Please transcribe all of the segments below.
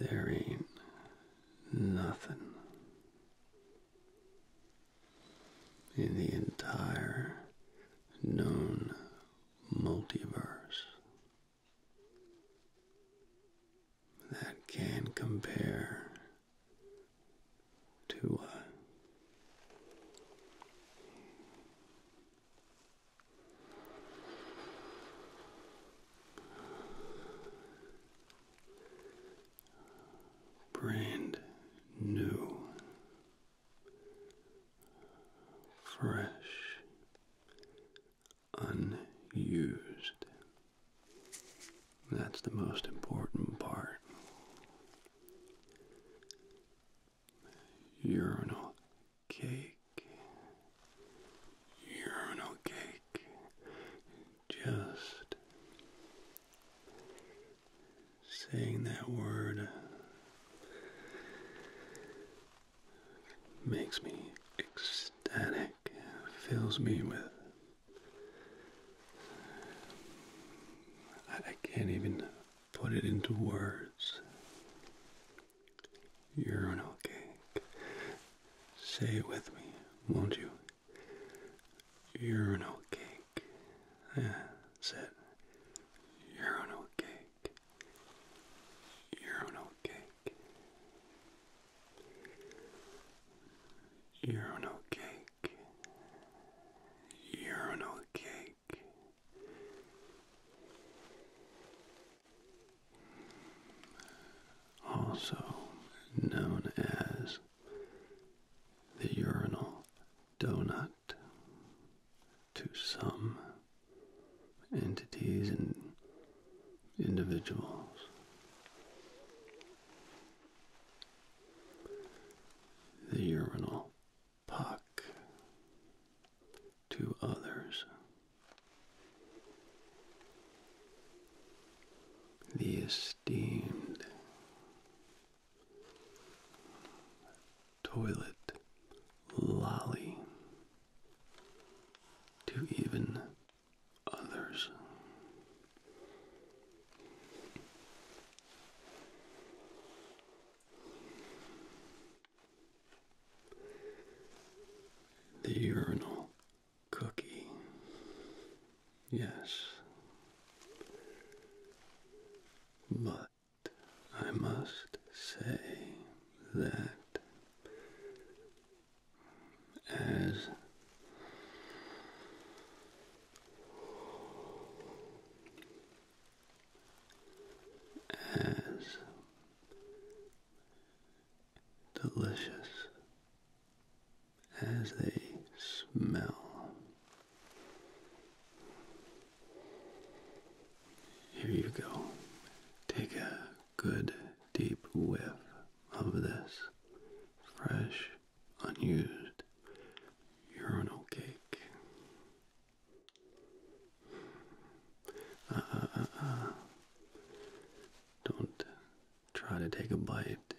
There ain't nothing in the entire known multiverse that can compare to a uh, brand new fresh, unused. That's the most important part. Urinal cake, urinal cake, just saying that word makes me ecstatic, fills me with. I can't even put it into words. Urinal cake. Say it with me, won't you? Urinal cake. That's it. Urinal cake cake, urinal cake, urinal cake, urinal cake. Also known as the urinal donut to some entities and individuals. The urinal puck to others. The esteemed toilet lolly to even others. The urinal cookie. Yes. But I must say that as as delicious as they smell here you go. Take a good deep whiff of this fresh, unused urinal cake. Uh, uh, uh, uh. Don't try to take a bite.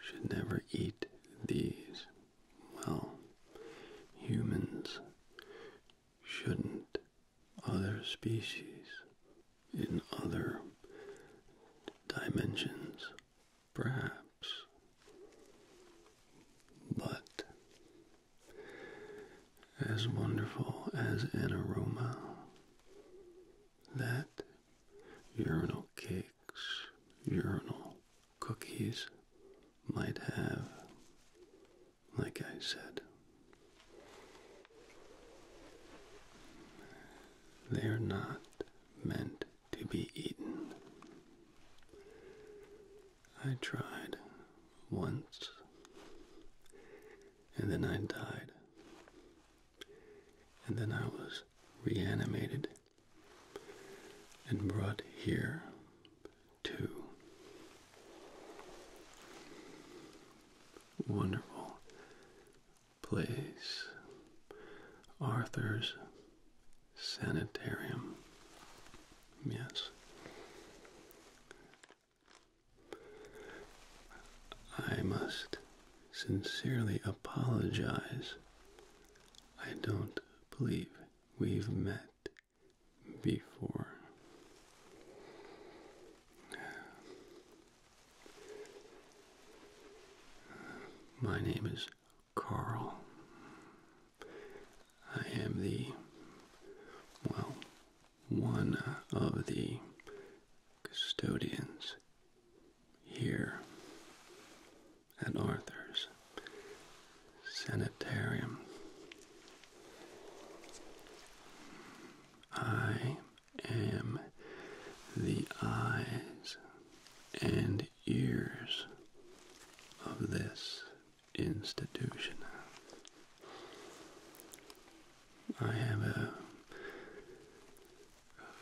Should never eat these well, humans shouldn't. Other species in other dimensions, perhaps. But as wonderful as an aroma that urinal cakes, urinal cookies might have, like I said. They are not meant to be eaten. I tried once, and then I died, and then I was reanimated and brought here two. Wonderful place. Arthur's Sanitarium. Yes. I must sincerely apologize. I don't believe we've met before. My name is Carl. I am the, well, one of the custodians here at Arthur's Sanitarium. I am the eyes and ears of this institution. I have a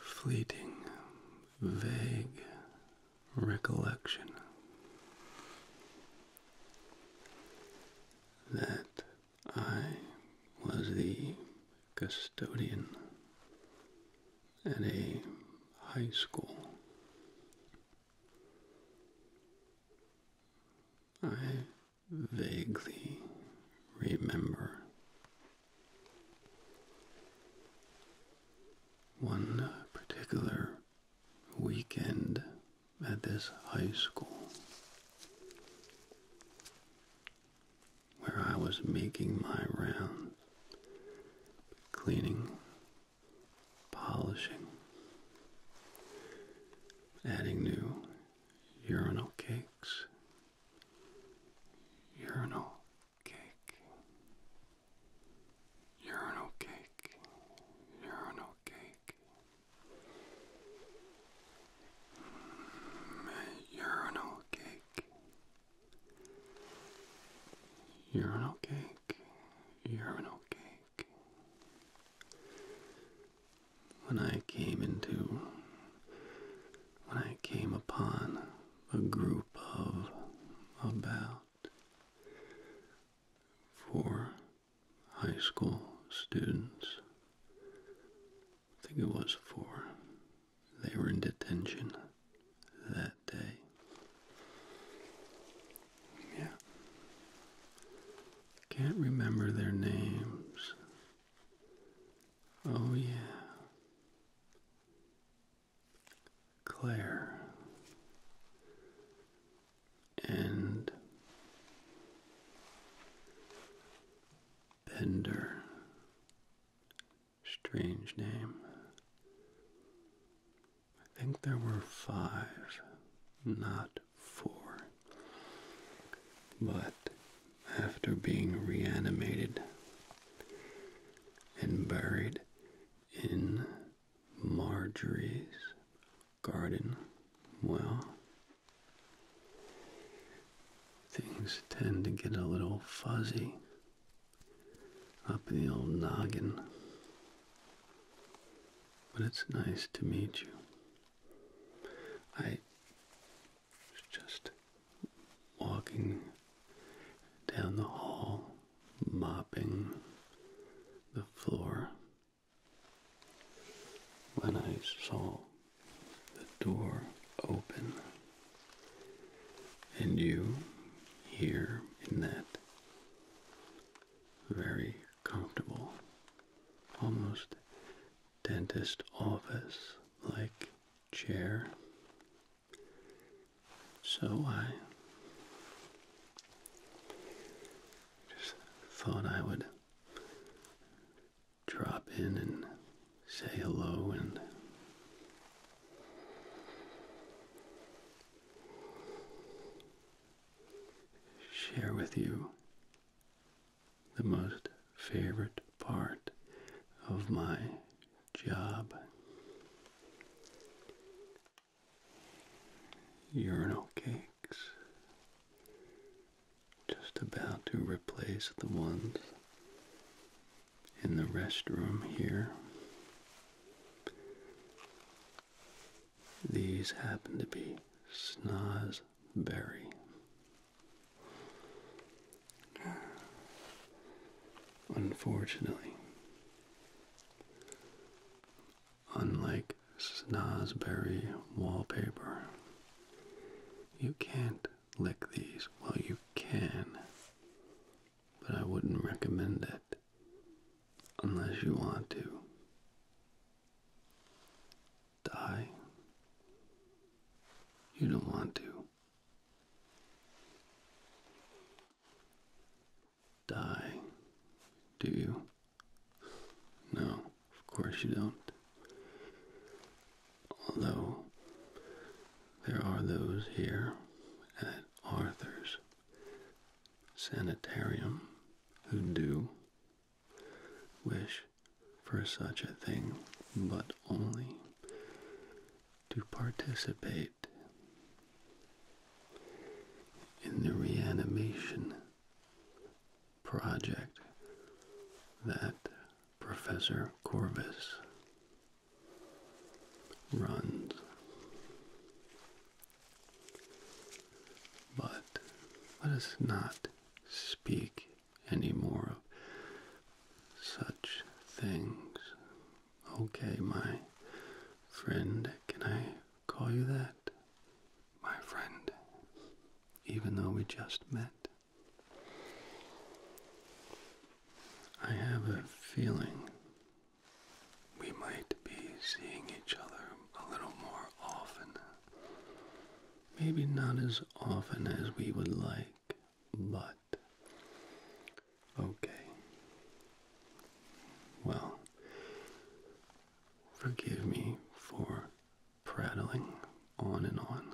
fleeting, vague recollection that I was the custodian at a high school. I vaguely remember one particular weekend at this high school where I was making my rounds, cleaning, polishing, adding new urinal cakes, urinal cake, urinal cake, urinal cake, mm, urinal cake, urinal cake, urinal cake. When I came into, when I came upon a group of about for high school students. I think it was four. They were in detention that day. Yeah. Can't remember their names. Oh, yeah. Claire and Bender, strange name. I think there were five, not four. But after being reanimated and buried in Marjorie's garden well. Things tend to get a little fuzzy up in the old noggin. But it's nice to meet you. I was just walking down the hall mopping the floor when I saw the door open and you here in that very comfortable, almost dentist office like chair so I just thought I would drop in and say hello and share with you the most favorite part of my job urinal cakes, just about to replace the ones in the restroom here. These happen to be snozberry. Unfortunately, Unlike snozberry wallpaper, you can't lick these. Well, you can, but I wouldn't recommend it unless you want to. Die? You don't want to die, do you? No, of course you don't. Although there are those here at Arthur's Sanitarium who do wish for such a thing, but only to participate in the reanimation project that Professor Corvus runs. But let us not speak anymore of such things Okay, my friend, can I call you that? My friend, even though we just met. I have a feeling we might be seeing each other a little more often. Maybe not as often as we would like, but Okay. Well, forgive me for prattling on and on.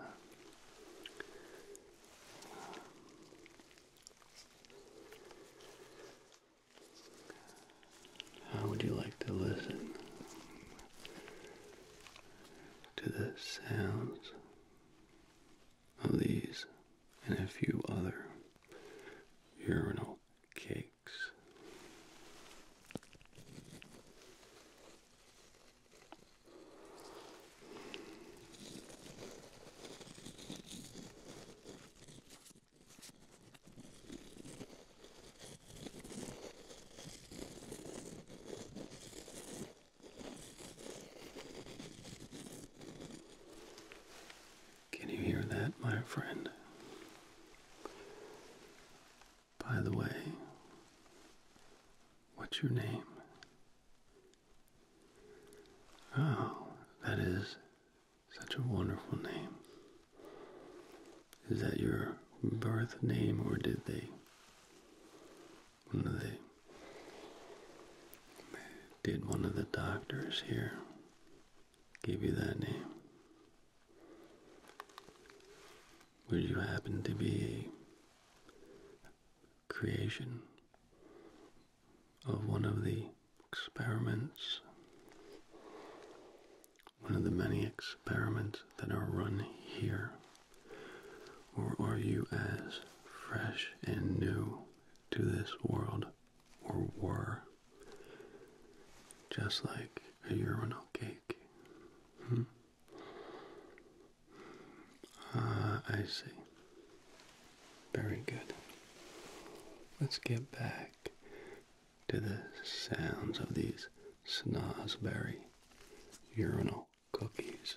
How would you like to listen to the sounds of these and a few other urinal cakes. Can you hear that, my friend? By the way, what's your name? Oh, that is such a wonderful name. Is that your birth name, or did they? did one of the doctors here gave you that name? Would you happen to be creation of one of the experiments? One of the many experiments that are run here? Or are you as fresh and new to this world or were, just like a urinal cake. Hmm? Ah, I see. Very good. Let's get back to the sounds of these snozberry urinal cookies.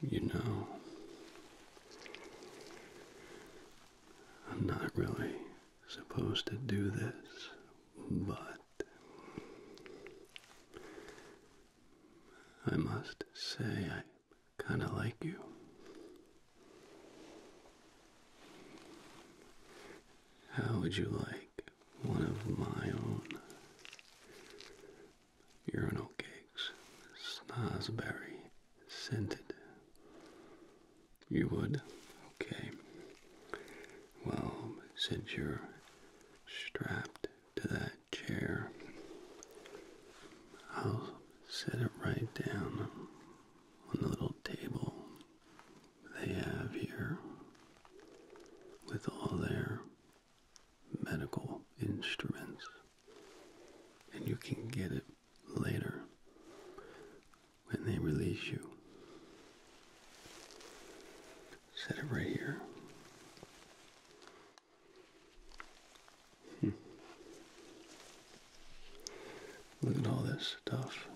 You know, I'm not really supposed to do this, but I must say, I kind of like you. How would you like one of my own urinal cakes, snozberry scented? You would? Okay. Well, since you're strapped to that chair. I'll set it right down on the little table they have here with all their medical instruments, and you can get it later when they release you. Set it right here. Hmm. Look at all this stuff.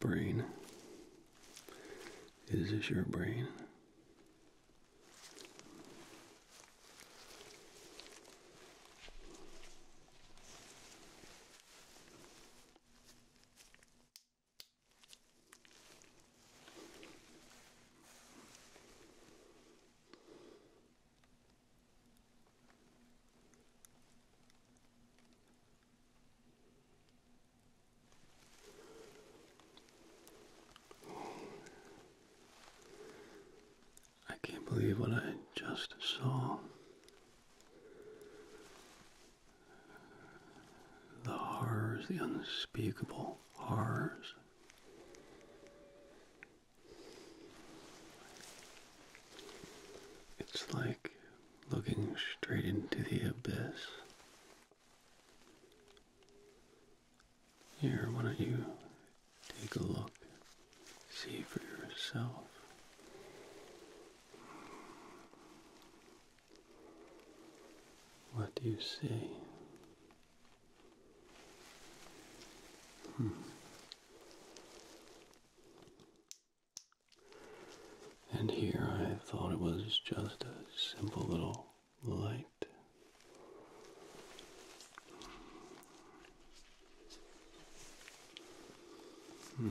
Brain. Is this your brain? I can't believe what I just saw. The horrors, the unspeakable horrors. It's like looking straight into the abyss. Here, why don't you take a look, see for yourself. What do you see? Hmm. And here I thought it was just a simple little light. Hmm.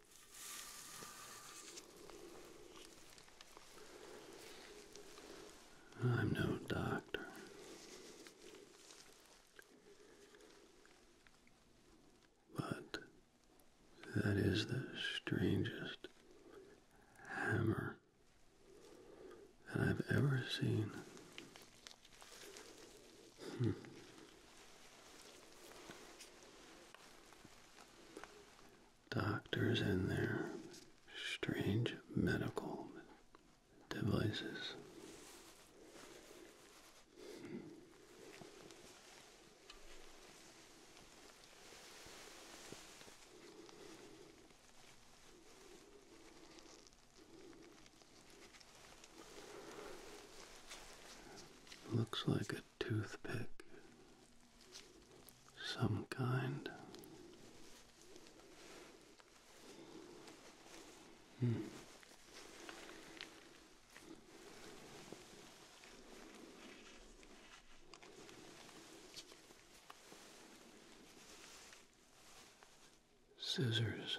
I'm no doctor. But that is the strangest hammer that I've ever seen. Hmm doctors and their strange medical devices. Looks like it toothpick some kind. Hmm. Scissors.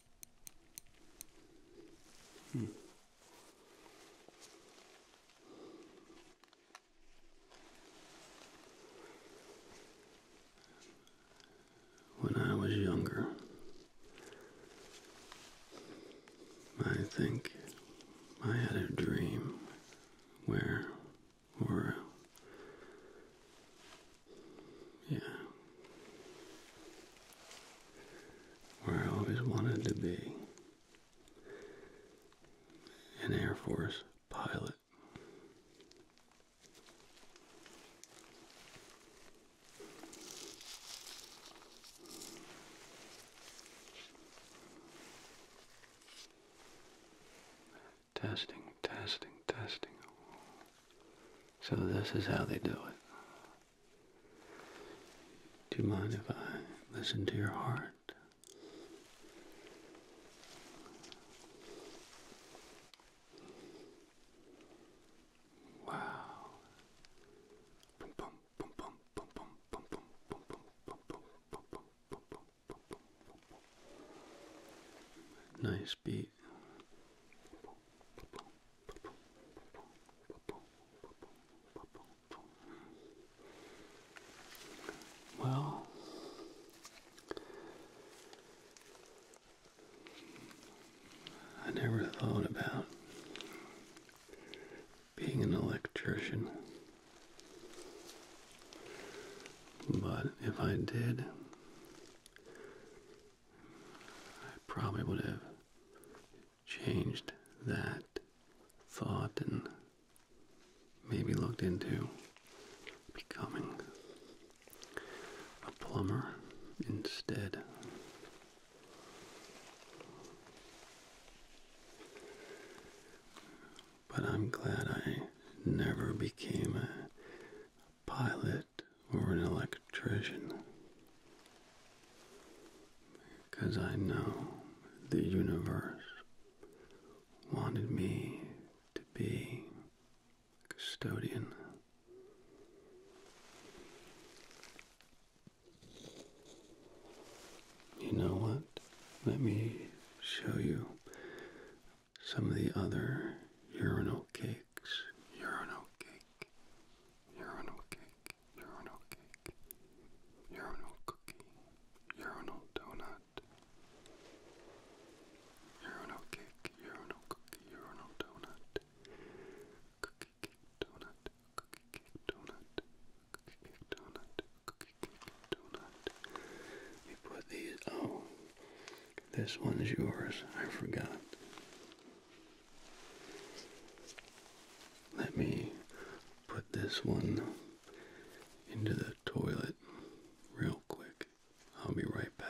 When I was younger, I think I had a dream where, or yeah. Where I always wanted to be an Air Force pilot. Testing, testing, testing. So this is how they do it. Do you mind if I listen to your heart? Wow. Nice beat. Well, I never thought about being an electrician, but if I did, I probably would have changed that thought and maybe looked into becoming a plumber instead. But I'm glad I never became a pilot or an electrician because I know the universe wanted me to be custodian. You know what? Let me show you some of the other urinal cakes cakes, urinal cake, urinal cake, urinal cake, urinal cookie, urinal donut, urinal cake, urinal cookie, urinal donut, cookie cake donut, cookie cake donut, cookie cake donut, cookie cake donut. We put these oh this one's yours. I forgot. Let me put this one into the toilet real quick. I'll be right back.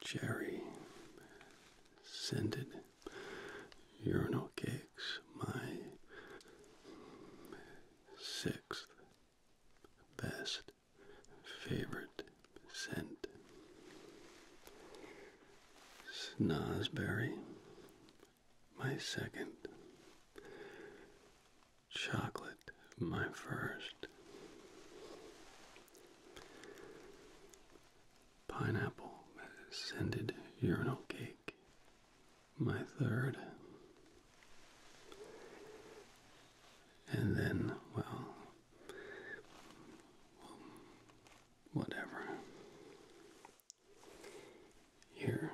Cherry scented urinal cakes, my sixth best favorite scent. Snazberry. my second. Chocolate, my first. Pineapple scented urinal cake, my third. And then, well, whatever. Here,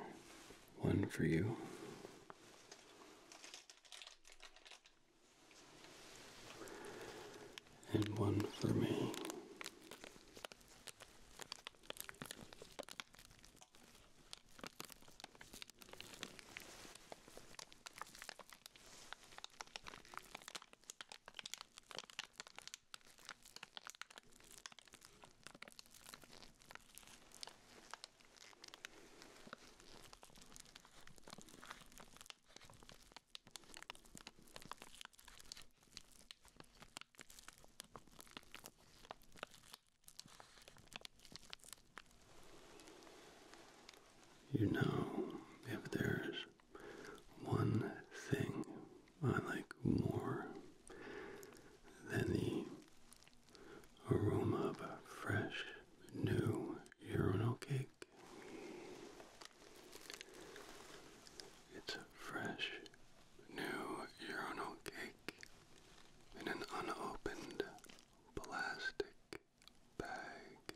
one for you. And one for me. You know, if there's one thing I like more than the aroma of fresh new urinal cake. It's a fresh new urinal cake in an unopened plastic bag.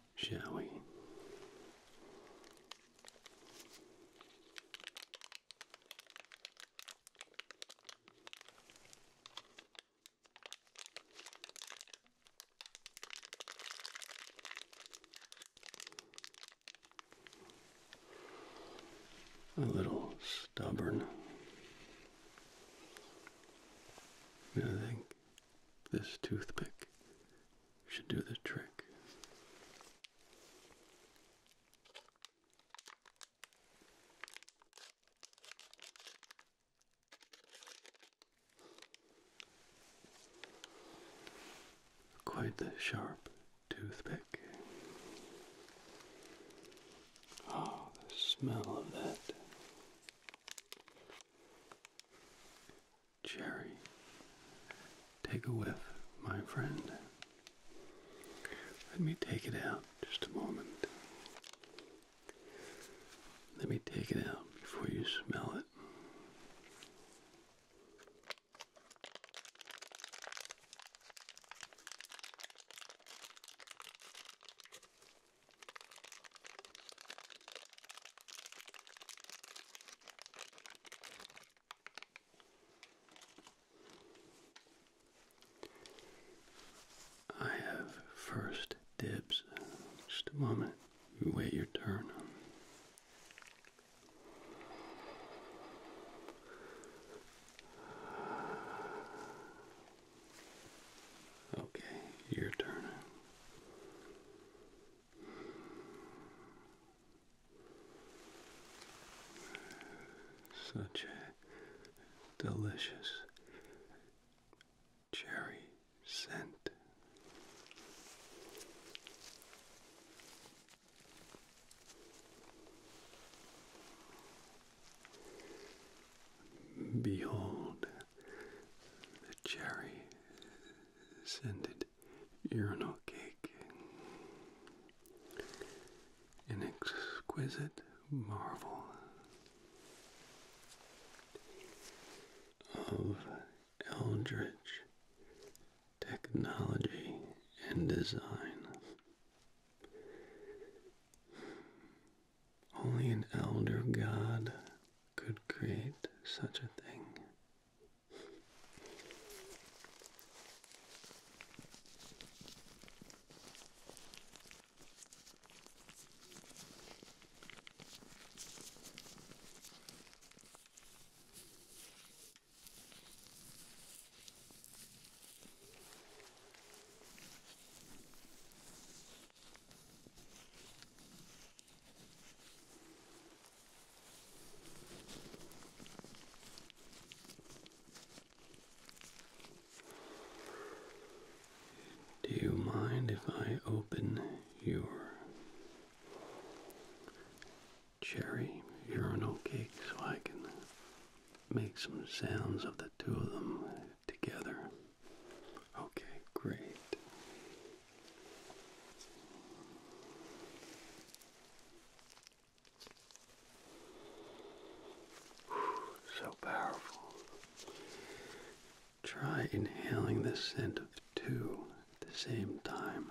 shall we? A little stubborn. I think this toothpick should do the trick. Quite the sharp toothpick. Oh, the smell of that Cherry, take a whiff, my friend. Let me take it out just a moment. Let me take it out before you smell it. I have first dibs. Just a moment. You wait your turn. Okay, your turn. Such a delicious cherry scent. Behold the cherry scented urinal cake, an exquisite marvel of eldritch technology and design. Only an elder god could create such a thing. Do you mind if I open your cherry urinal cake so I can make some sounds of the two of them together? Okay, great. So powerful. Try inhaling the scent of two at the same time.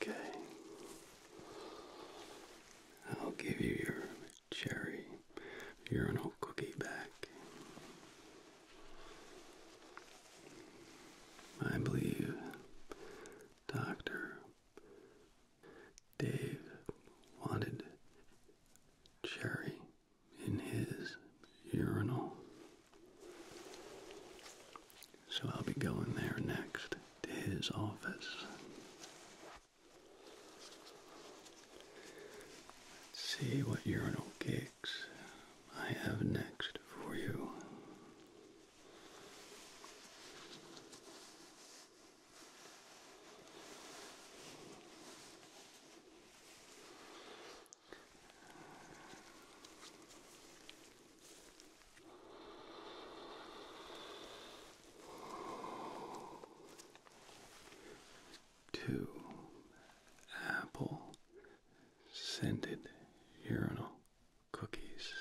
Okay. I'll give you your cherry urinal cookie back. I believe Dr. Dave wanted cherry in his urinal. So I'll be going there next to his office. Let's see what urinal cakes I have next for you. 2 apple scented urinal cookies.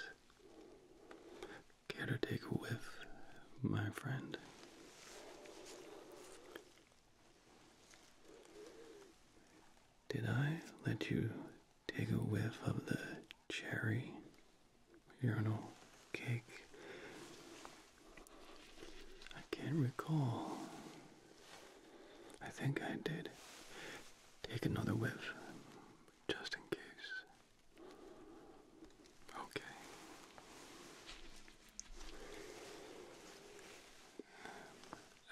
Care to take a whiff, my friend? Did I let you take a whiff of the cherry urinal cake I can't recall. I think I did. Take another whiff, just in case. Okay.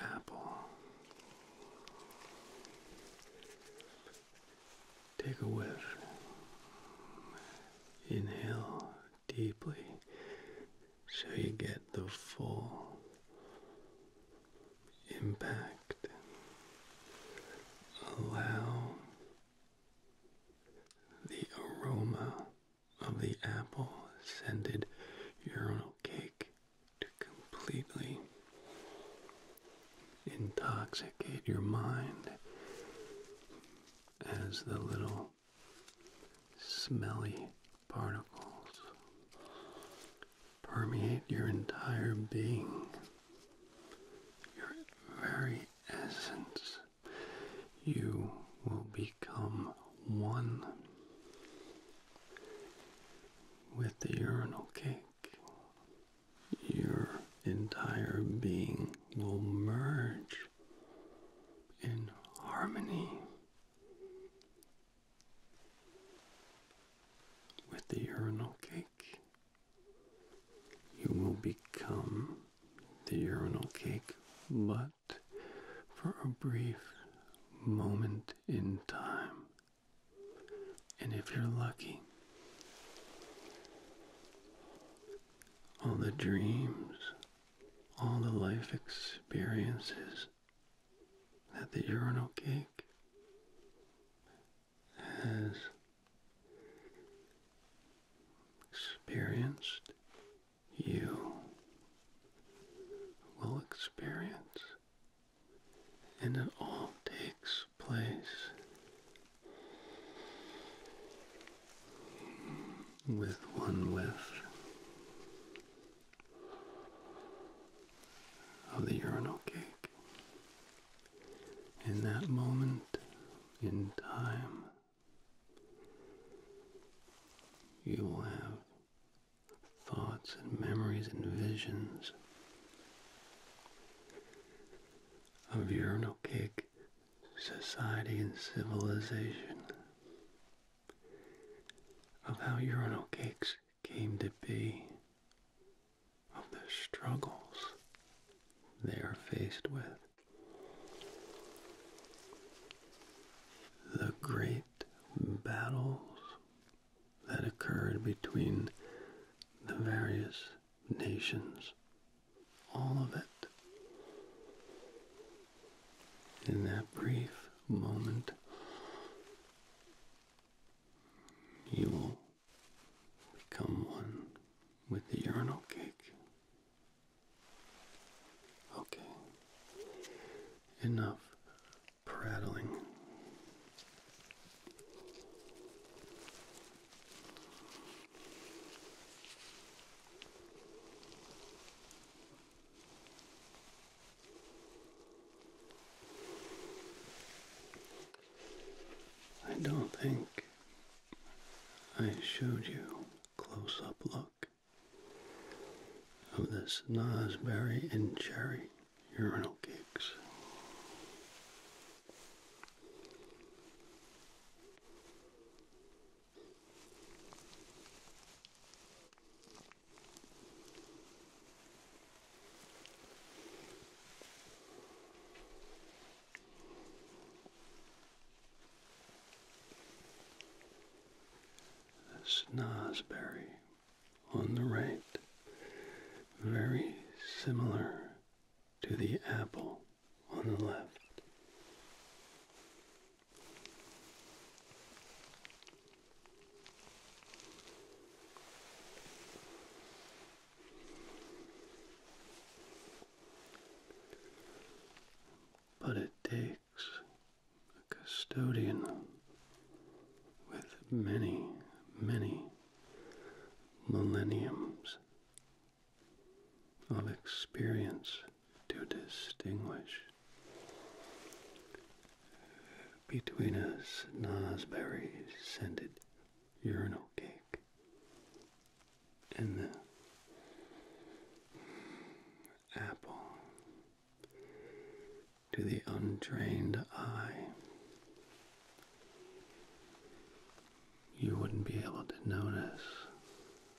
Apple. Take a whiff. Inhale deeply so you get the full impact. Allow the aroma of the apple scented urinal cake to completely intoxicate your mind as the little smelly particles permeate your entire being, your very essence. You will become one with the urinal cake. Your entire being will merge in harmony with the urinal cake. You will become the urinal cake, but for a brief moment in time. And if you're lucky, all the dreams all the life experiences that the urinal cake has experienced, you will experience, and it all takes place with one lift of the urinal cake. In that moment in time, you will have thoughts and memories and visions of urinal cake society and civilization, of how urinal cakes came to be, of the struggles they are faced with. The great battles that occurred between the various nations all of it in that brief moment. You will become one with the urinal cake. Okay, enough prattling. I don't think I showed you close up look of this Nosberry and Cherry urinal cakes. Snosberry on the right, very similar to the apple on the left. But it takes a custodian with many, many millenniums of experience to distinguish between a snosberry scented urinal cake and the apple to the untrained eye. You wouldn't be able to notice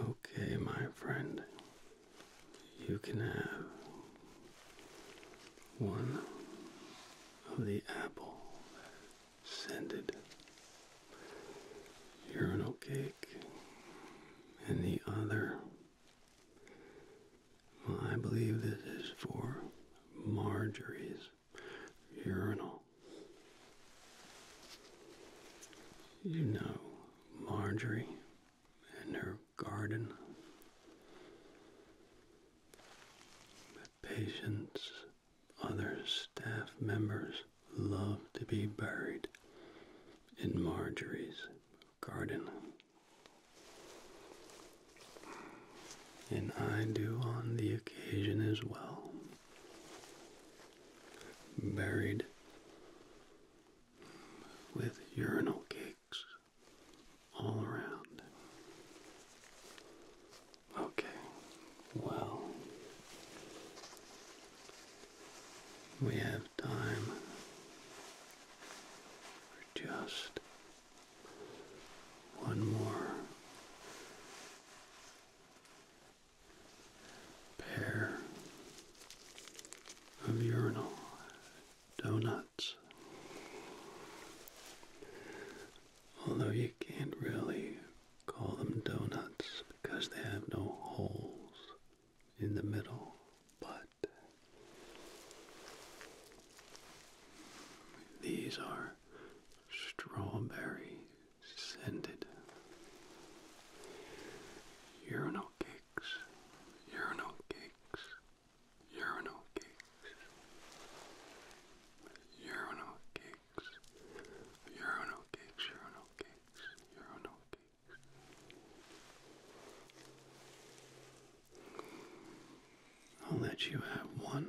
Okay, my friend, you can have one of the apple scented urinal cake and the other I believe this is for Marjorie's urinal. You know Marjorie and her garden. The patients, other staff members love to be buried in Marjorie's garden. And I do on the occasion as well. Buried with urinal cakes all around. Okay, well, we have time for just one more pair of urinal donuts. Although you can't really call them donuts because they have no holes in the middle, but these are strawberry scented urinal cakes, urinal cakes, urinal cakes, urinal cakes, urinal cakes, urinal cakes, urinal cakes. I'll let you have one.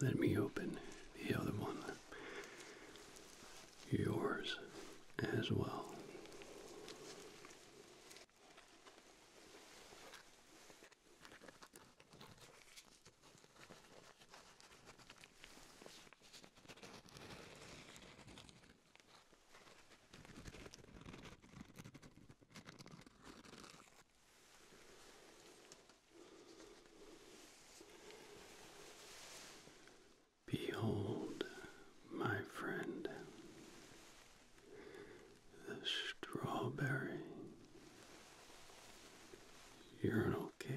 Let me open the other one yours as well. Behold, my friend, the strawberry urinal cakes.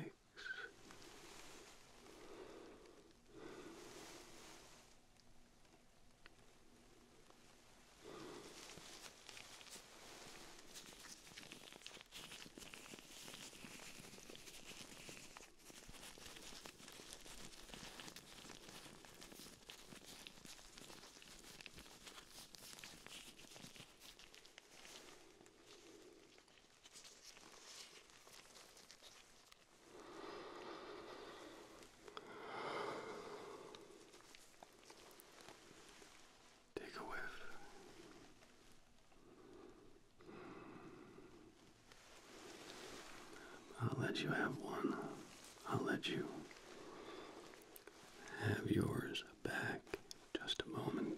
Take a whiff. I'll let you have one. I'll let you have yours back just a moment.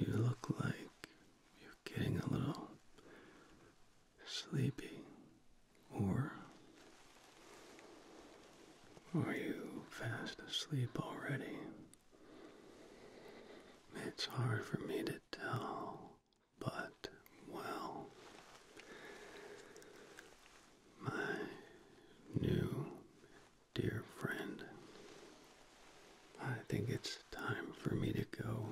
You look like you getting a little sleepy, or are you fast asleep already? It's hard for me to tell, but well, my new dear friend, I think it's time for me to go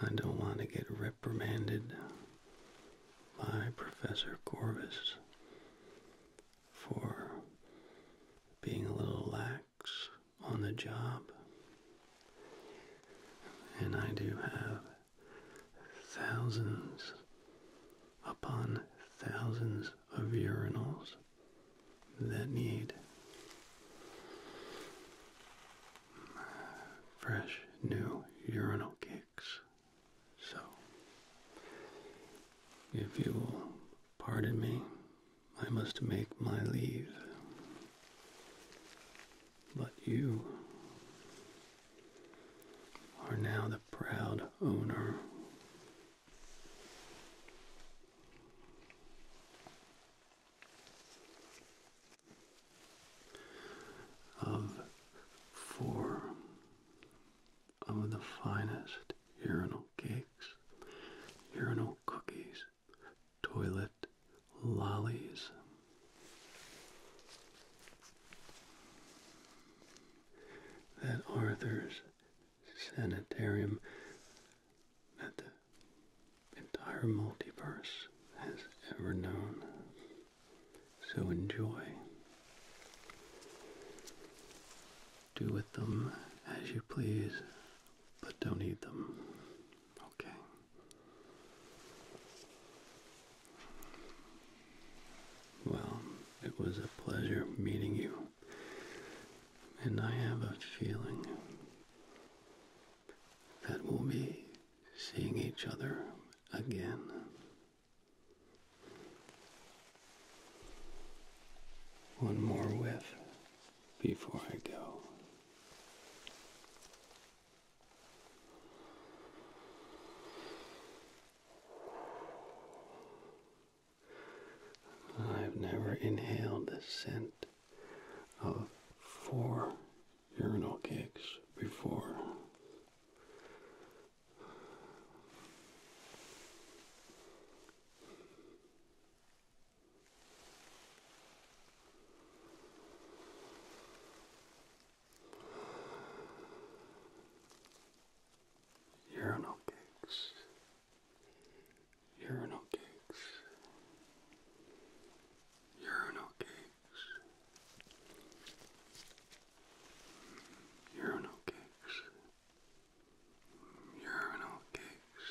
I don't want to get reprimanded by Professor Corvus for being a little lax on the job. And I do have thousands upon thousands of urinals that need fresh new urinal cakes. So, if you will pardon me, I must make my leave. But you are now the proud owner of four of the finest urinal cakes, urinal cookies, toilet lollies. That Arthur's Sanitarium that the entire multiverse has ever known. So enjoy. Do with them as you please, but don't eat them. Okay. Well, it was a pleasure meeting you. And I have a feeling that will be seeing each other again. One more whiff before I go. I've never inhaled the scent of four urinal cakes before. Urinal cakes, urinal cakes, urinal cakes, urinal cakes, urinal cakes,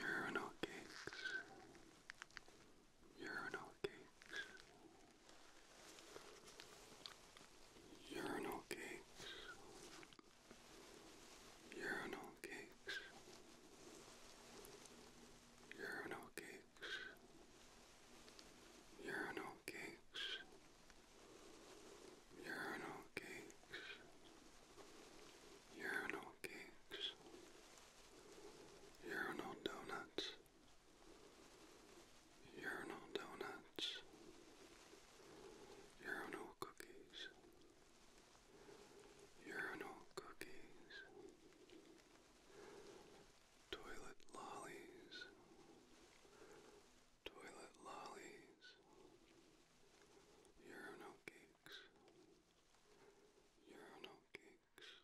urinal cakes, urinal cakes, urinal cakes urinal cakes, urinal cakes, urinal cakes, urinal cakes, urinal cakes, urinal donuts, urinal donuts, urinal cookies urinal cookies, toilet lollies, toilet lollies, urinal cakes, urinal cakes, urinal cakes,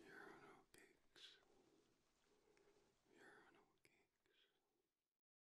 urinal cakes.